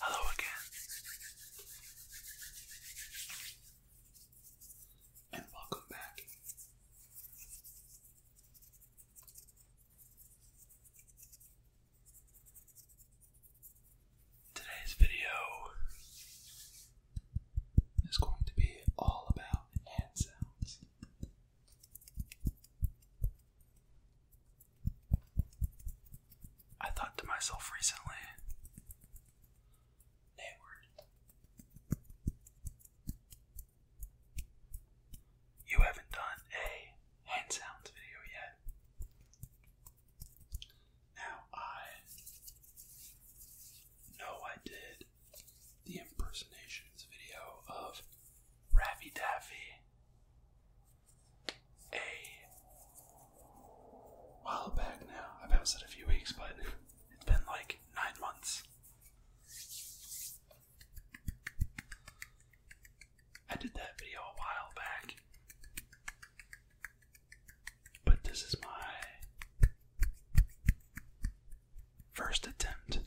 Hello again, and welcome back. Today's video is going to be all about hand sounds. I thought to myself recently, Nayward, you haven't done a hand sounds video yet. Now, I know I did the impersonations video of Raffy Daffy a while back now. I've said a few weeks, but it's been like nine months. I did that video a while back. But this is my first attempt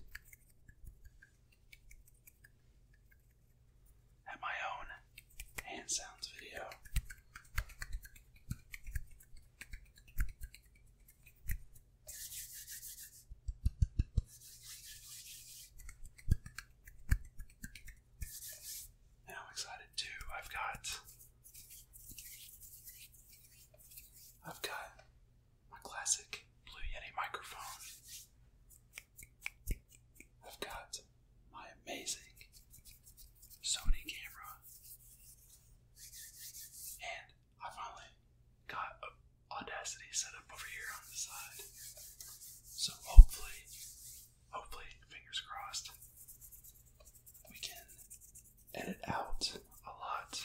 have my own hand sounds video. Now I'm excited too. I've got I've got my classic Blue Yeti microphone I've got my amazing Sony camera, and I finally got Audacity set up over here on the side. So hopefully, hopefully, fingers crossed, we can edit out a lot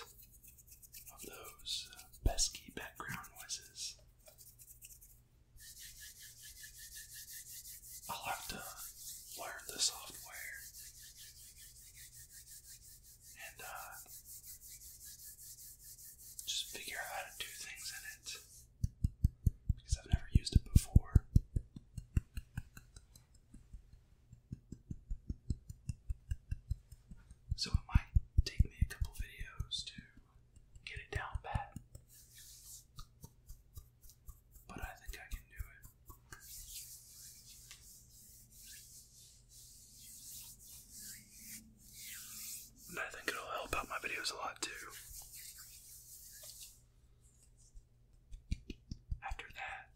of those pesky background noises I'll have to learn the software and uh, just figure out how to do things in it because I've never used it before. So it might take me a couple videos to get it down pat. But I think I can do it. And I think it'll help out my videos a lot too. After that,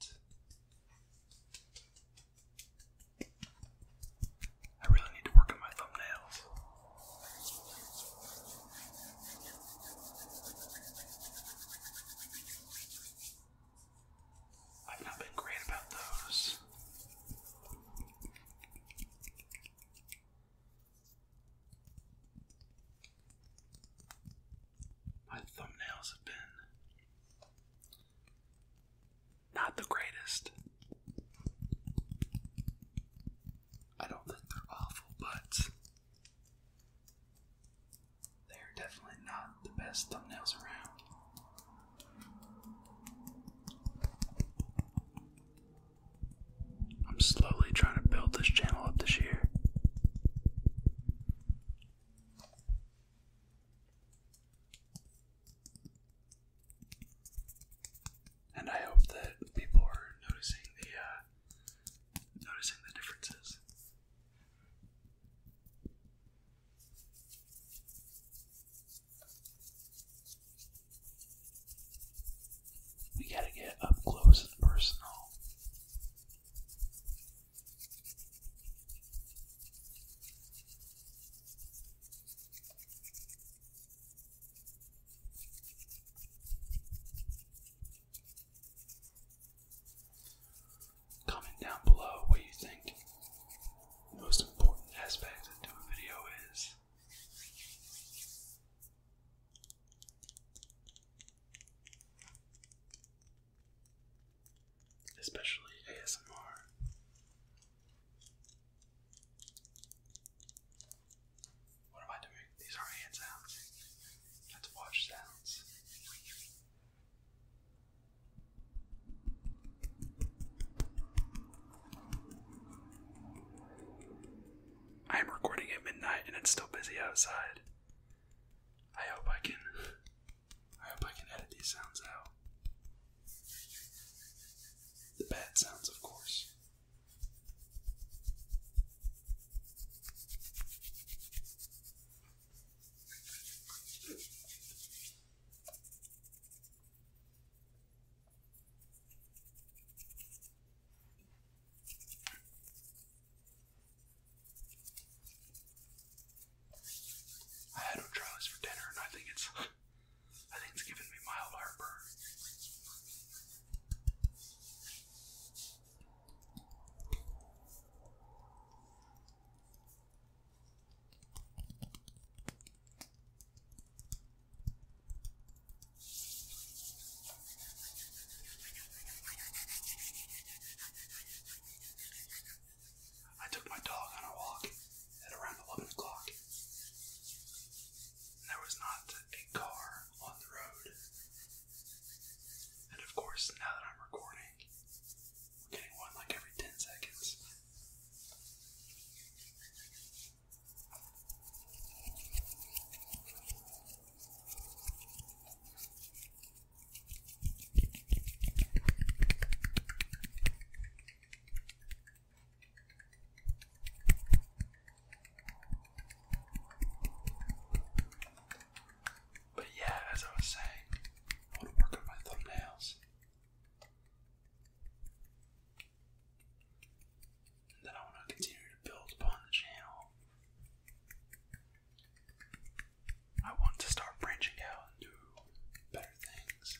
I really need to work on my thumbnails. I've not been great about those. My thumbnails have been not the greatest. I don't think they're awful, but they are definitely not the best thumbnails around. I'm slowly trying to build this channel up this year. And I hope that people are noticing the uh, noticing the differences. We gotta get up close and personal. Comment down below what you think the most important aspect to a video is. Especially ASMR. What am I doing? These are hand sounds. Let's watch sounds. I am recording at midnight and it's still busy outside. I hope I can I hope I can edit these sounds out. The bad sounds, of course. I had O'Charlie's for dinner, and I think it's I think it's giving me mild heartburn. I took my dog on a walk at around 11 o'clock. There was not a car on the road. And of course, now that I'm recording, we're getting one like every 10 seconds. But yeah, as I was saying, I want to work on my thumbnails. And then I want to continue to build upon the channel. I want to start branching out and better things.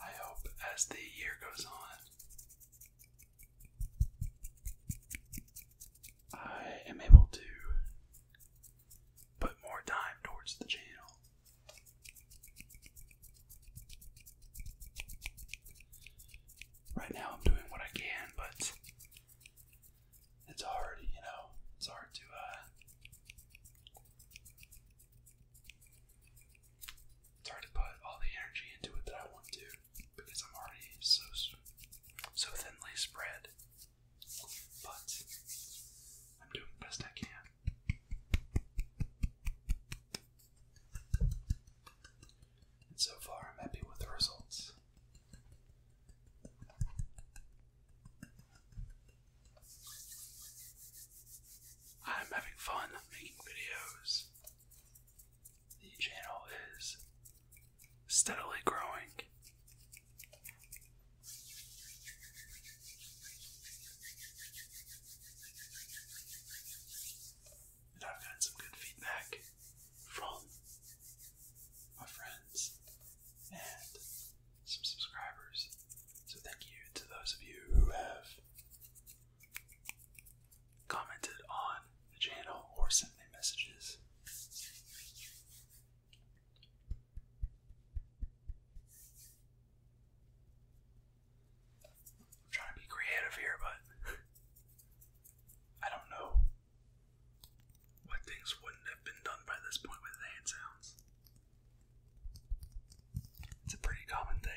I hope as the year goes on, I am able to put more time towards the channel. Right now, I'm doing what I can, but it's hard, you know, it's hard to, uh, it's hard to put all the energy into it that I want to because I'm already so, so thinly spread. But I'm doing the best I can. And so far, I'm happy with the results. I'm having fun making videos. The channel is steadily growing. And I've gotten some good feedback from my friends and some subscribers. So thank you to those of you who have commented on the channel or sent me messages. I'm trying to be creative here, but I don't know what things wouldn't have been done by this point with hand sounds. It's a pretty common thing.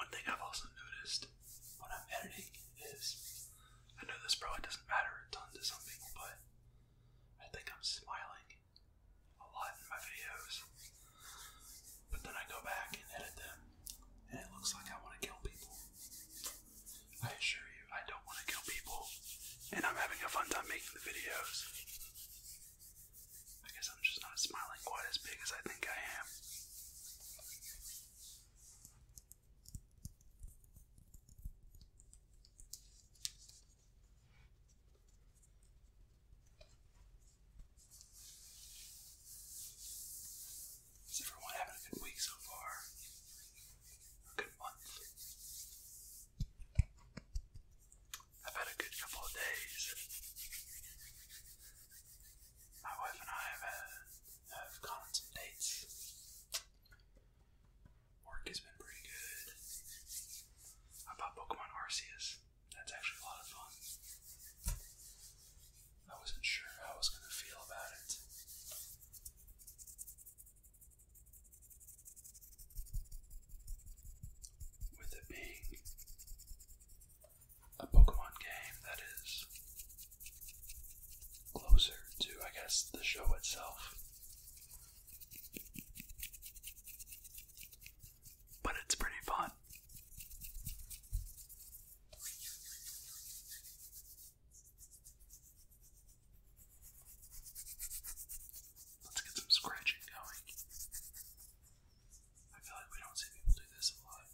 One thing I've also noticed when I'm editing is I know this probably doesn't matter a ton to some people, but I think I'm smiling a lot in my videos. But then I go back and edit them, and it looks like I want to kill people. I assure you, I don't want to kill people, and I'm having a fun time making the videos. I guess I'm just not smiling quite as big as I think I am. Is everyone having a good week so far? a good month. I've had a good couple of days. My wife and I have, have gone on some dates. Work has been pretty good. I bought Pokemon Arceus. That's actually a lot of fun. I wasn't sure how I was going to feel about it. With it being a Pokemon game that is closer to, I guess, the show itself. But it's pretty fun. Let's get some scratching going. I feel like we don't see people do this a lot.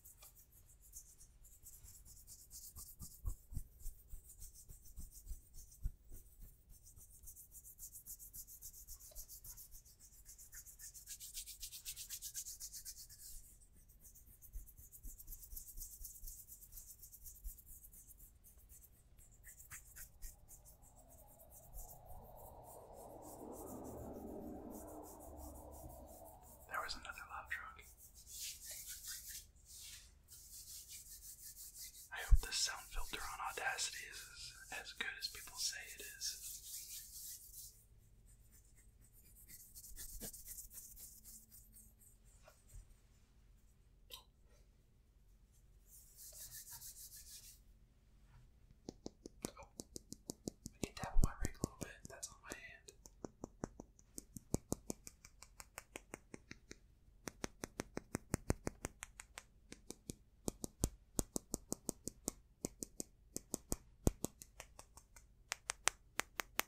There was another love truck. I hope this sound filter on Audacity is as good as people say it is. Oh, I need to tap on my ring a little bit. That's on my hand.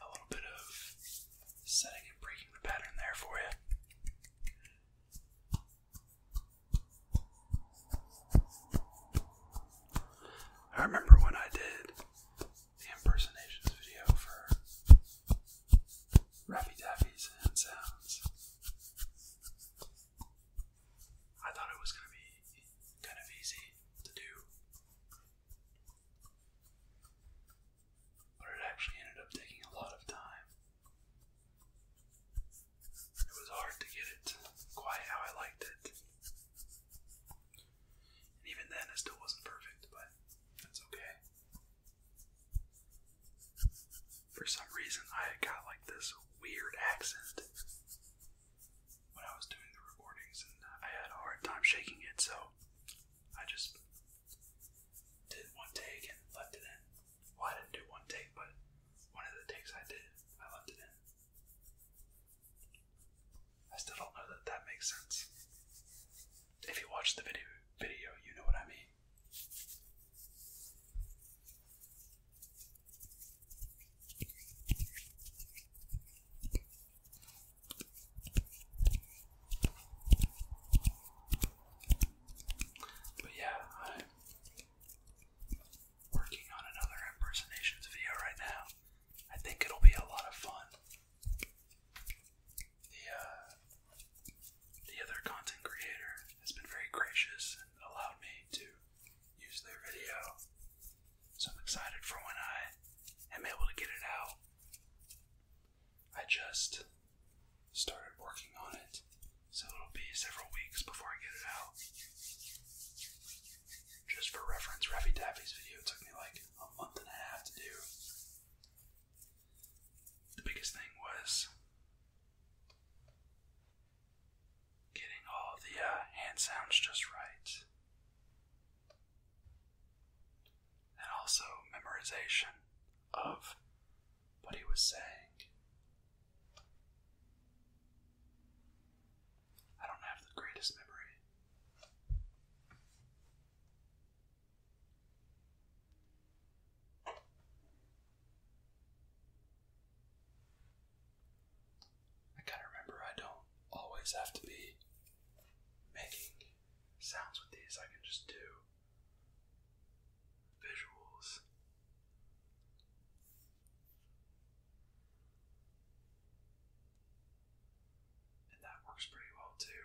A little bit of setting and breaking the pattern there for you. I remember when I did the impersonations video for Rappy Dappy's hand sounds. I thought it was gonna be kind of easy to do. But it actually ended up taking a lot of time. It was hard to get it quite how I liked it. And even then, it still wasn't perfect, but that's okay. For some reason, I got like this weird accent when I was doing the recordings, and I had a hard time shaking it, so I just did one take and left it in. Why didn't do one take, but one of the takes I did, I left it in. I still don't know that that makes sense. If you watch the video, video, you know what I mean. But yeah, I'm working on another impersonations video right now. I think it'll be a lot of fun. The uh, the other content creator has been very gracious and allowed me to use their video. So I'm excited for when I am able to get it out. I just started working on it, so it'll be several weeks before I get it out. Just for reference, Raffy Daffy's video took me like a month and a half to do the biggest thing was getting all the uh, hand sounds just right. And also memorization of what he was saying. I don't have the greatest memory. I kind of remember I don't always have to be making sounds with these, I can just do visuals. And that works pretty well too.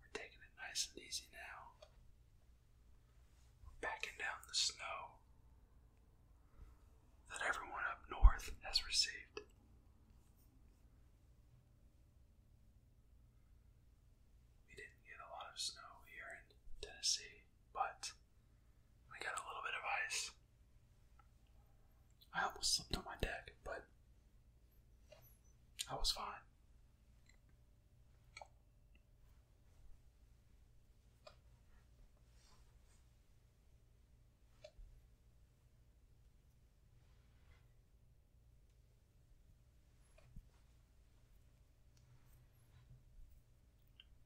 We're taking it nice and easy now. We're backing down the snow that everyone up north has received. We didn't get a lot of snow here in Tennessee, but we got a little bit of ice. I almost slipped on my deck, but I was fine.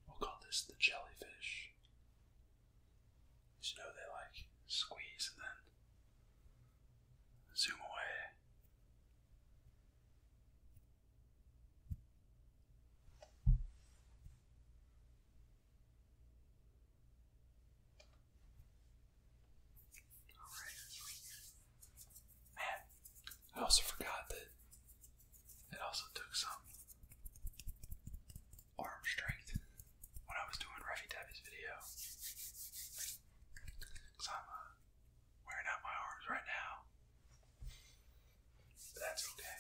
We'll call this the jellyfish you know they like squeeze and then zoom away? Alright. Man, I also forgot that it also took some arm strength when I was doing Ruffy Tabby's video. I'm uh, wearing out my arms right now. that's okay.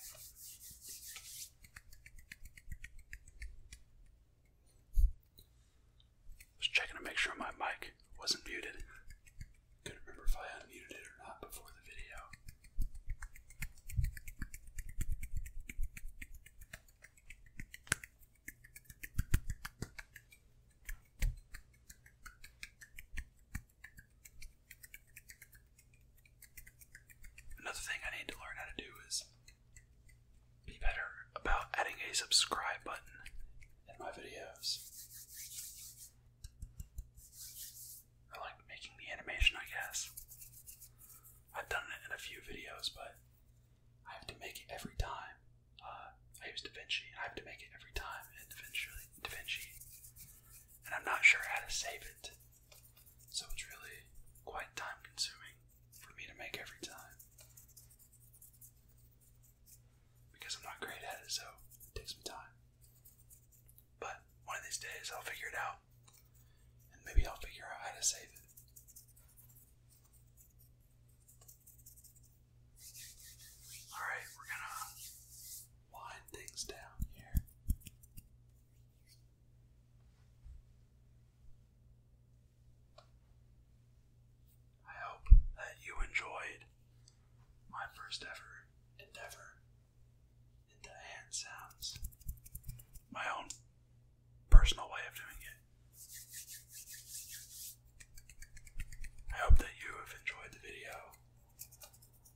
was checking to make sure my mic wasn't muted. Couldn't remember if I unmuted it or not before the video. Another thing I need to learn how to do is be better about adding a subscribe button in my videos. I like making the animation, I guess. I've done it in a few videos, but I have to make it every time. Uh, I use DaVinci, and I have to make it every time in DaVinci, DaVinci. And I'm not sure how to save it. So it's really quite time consuming for me to make every time. Because I'm not great at it, so it takes me time. But one of these days I'll figure it out. And maybe I'll figure out how to save it. Alright, we're gonna wind things down here. I hope that you enjoyed my first ever endeavor into hand sounds. My own personal way of doing it. I hope that you have enjoyed the video,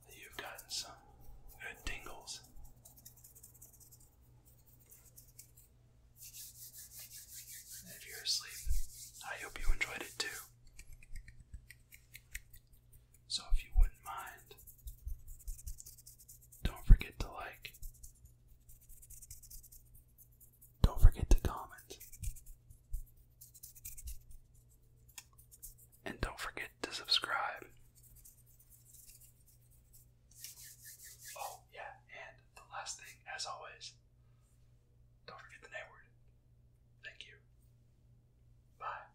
that you've gotten some good tingles. And if you're asleep, I hope you enjoyed it too. So if you wouldn't mind, don't forget to like, don't forget to comment, and don't forget to subscribe. Oh, yeah, and the last thing, as always, don't forget the name word. Thank you. Bye.